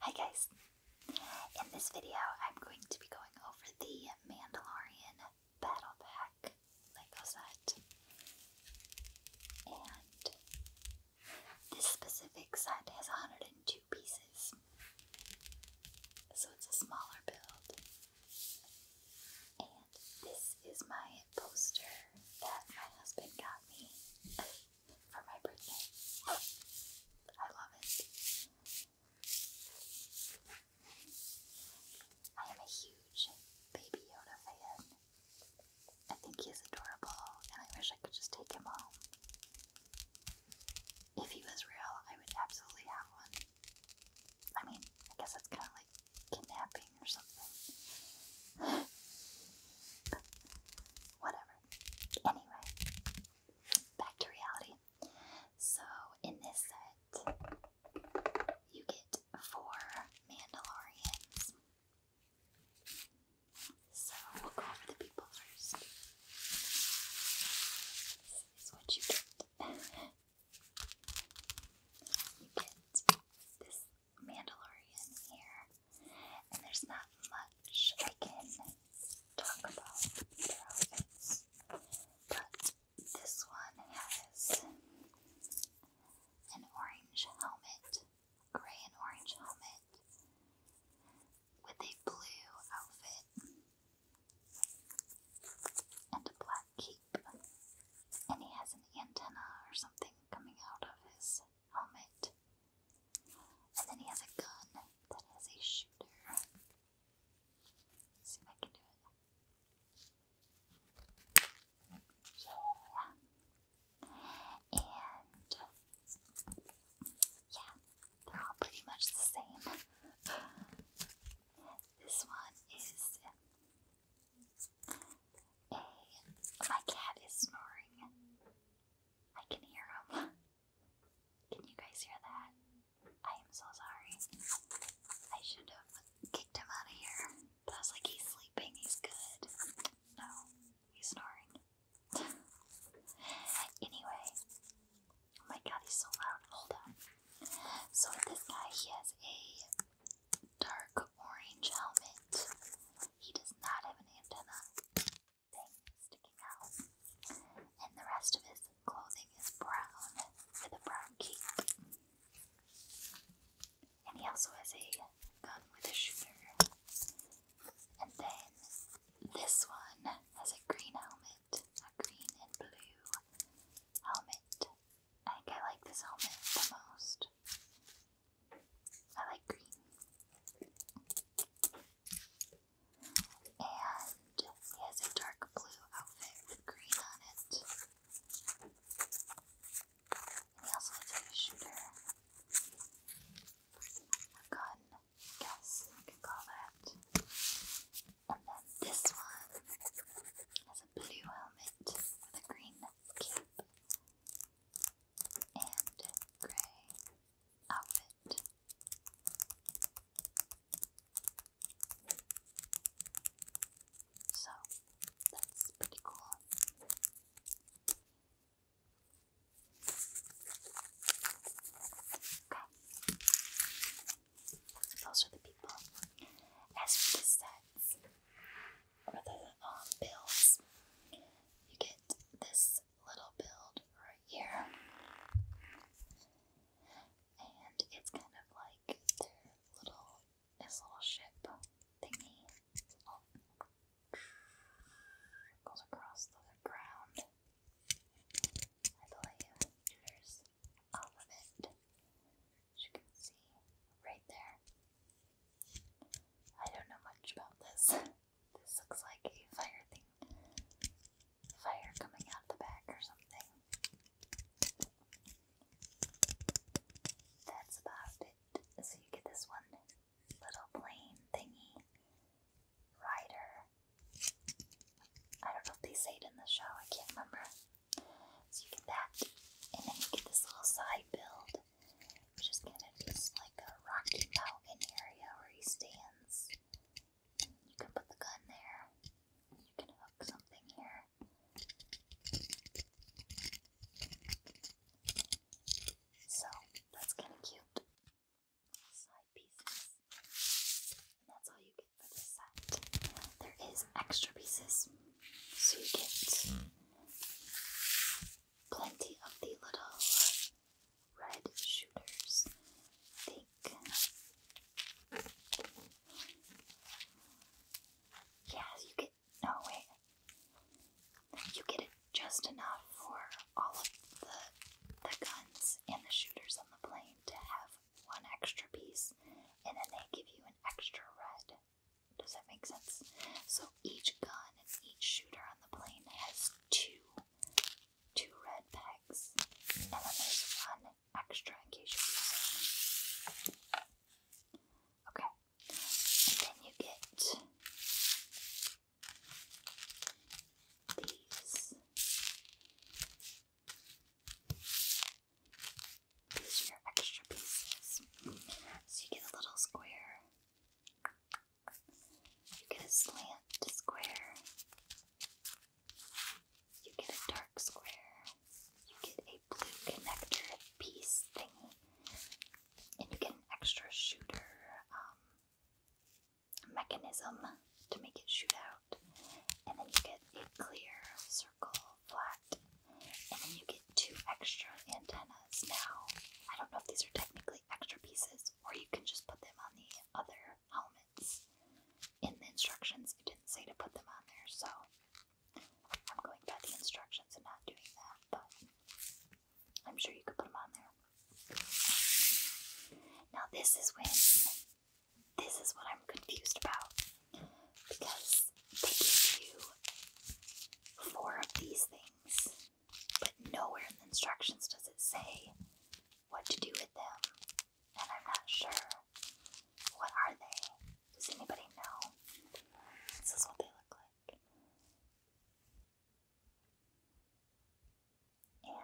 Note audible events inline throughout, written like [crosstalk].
Hi guys! In this video, I'm going to be going over the Mandalorian Battle Pack Lego set. And this specific set has 102 pieces, so it's a smaller build. And this is my poster that my husband got me [laughs] for my birthday. I love it. I am a huge Baby Yoda fan. I think he's adorable, and I wish I could just take him home. If he was real, I would absolutely have one. I mean, I guess it's kind of like kidnapping or something. [laughs] Whatever. Anyway, back to reality. So, in this set, you get four Mandalorians. So we'll go over the people first. is what you get. [laughs] you get this Mandalorian here, and there's not much I can talk about their outfits, but this one has an orange helmet grey and orange helmet with a blue outfit and a black cape. And he has an antenna or something coming out of his helmet. And then he has a gun that has a shooter. see if I can do it yeah. And yeah, they're all pretty much the same. This one is a my cat is snoring. I can hear him. Can you guys hear that? I am so sorry. I should have kicked him out of here. But I was like, he's sleeping, he's good. No, he's snoring. anyway, oh my god, he's so loud. Hold on. So this guy, he has a dark orange helmet. He does not have an antenna thing sticking out. And the rest of his clothing is brown with a brown cape and he also has a gun with a shooter. And then this one has a green helmet, a green and blue helmet. I think I like this helmet the most. I like green. And he has a dark blue outfit with green on it. And also have a shooter. A gun, guess you can call it. And then this one has a blue helmet with a green cape and gray outfit. So that's pretty cool. Okay. Those are the people. As for the sets or the um, builds, you get this little build right here. And it's kind of like little his little ship thingy goes across the ground. I believe there's off of it. you can see right there. I don't know much about this. [laughs] This looks like a fire thing fire coming out the back or something. That's about it. So you get this one little plane thingy rider. I don't know if they say in the show, I can't remember. So you get that, and then you get this little side build, which is kind of just like a Rocky Mountain area where he stands. You can put the gun there. You can hook something here. So that's kind of cute. Side pieces. And that's all you get for this set. There is extra pieces. So you get plenty of the little red shooters. Yes, you get. No, wait. You get it just enough for all of the, the guns and the shooters on the plane to have one extra piece, and then they give you an extra red. Does that make sense? So each gun and each shooter on the plane has two two red pegs, and then there's one extra in case you lose it. Okay, and then you get these. These are your extra pieces. So you get a little square, you get a slant square, you get a dark square. You get a blue connector piece thingy. And you get an extra shooter um, mechanism to make it shoot out. And then you get a clear circle flat. And then you get two extra antennas. Now, I don't know if these are technically extra pieces, or you can just put them on the other helmets. In the instructions, it didn't say to put them on there, so I'm going by the instructions and not doing that, but I'm sure you could put them on there. Now, this is when this is what I'm confused about because they give you four of these things but nowhere in the instructions does it say what to do with them, and I'm not sure. What are they? Does anybody know? This is what they look like. And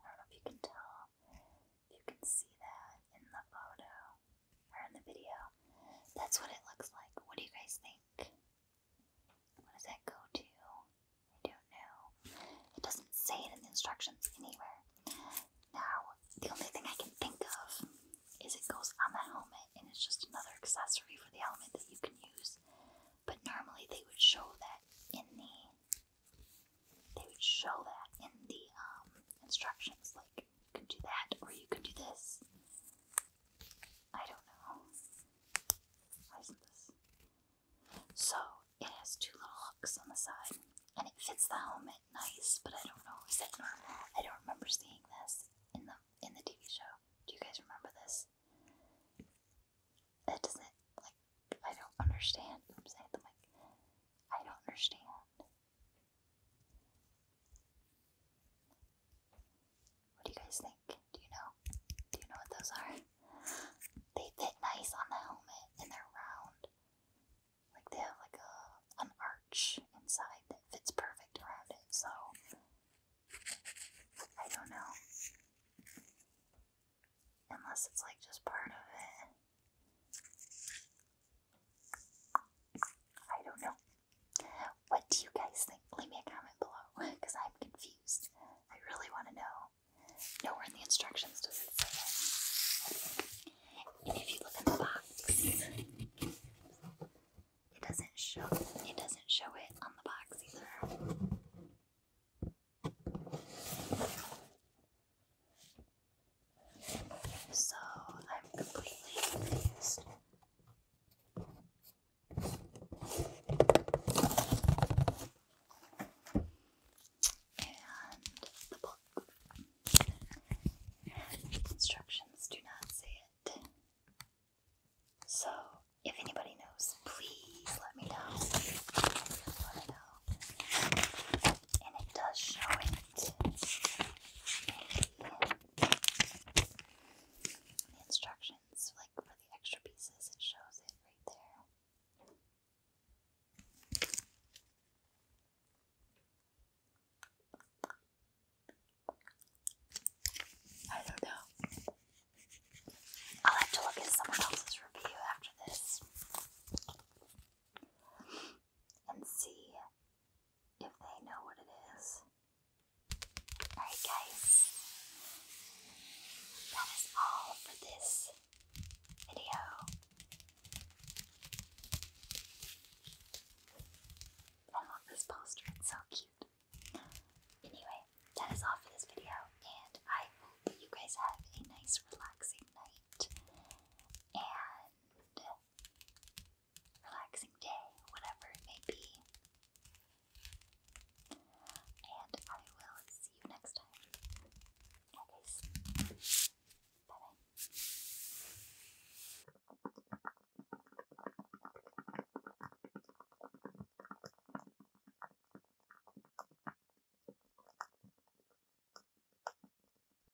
I don't know if you can tell, if you can see that in the photo or in the video. That's what it looks like. What do you guys think? What does that go to? I don't know. It doesn't say it in the instructions anywhere. Now, the only thing I can think of is it goes on the helmet and it's just another accessory for the helmet that you can use. But normally they would show that in the they would show that in the um, instructions, like you can do that or you can do this. I don't know. So it has two little hooks on the side, and it fits the helmet nice. But I don't know is that normal? I don't remember seeing this in the in the TV show. Do you guys remember this? That doesn't like I don't understand. Oops, I hit the mic. I don't understand. What do you guys think? Do you know? Do you know what those are? They fit nice on the helmet and they're round. Like they have like a an arch inside that fits perfect around it. So I don't know. Unless it's like just part of it. I don't know. What do you guys think? Leave me a comment below because [laughs] I'm confused. I really want to know. Nowhere in the instructions does it say it. And if you look in the box, it doesn't show it doesn't show it on the box either. So I'm completely confused. And the Instructions do not say it. So, if anybody knows, please let me know. Let me know. And it does show it instructions, like for the extra pieces, it shows it right there. I don't know. I'll have to look at someone else's review after this and see if they know what it is. Alright, guys, that is all for this video. I love this poster, it's so cute. Anyway, that is all for this video, and I hope you guys have a nice, relaxing night. And relaxing day, whatever it may be. And I will see you next time. Yeah, bye.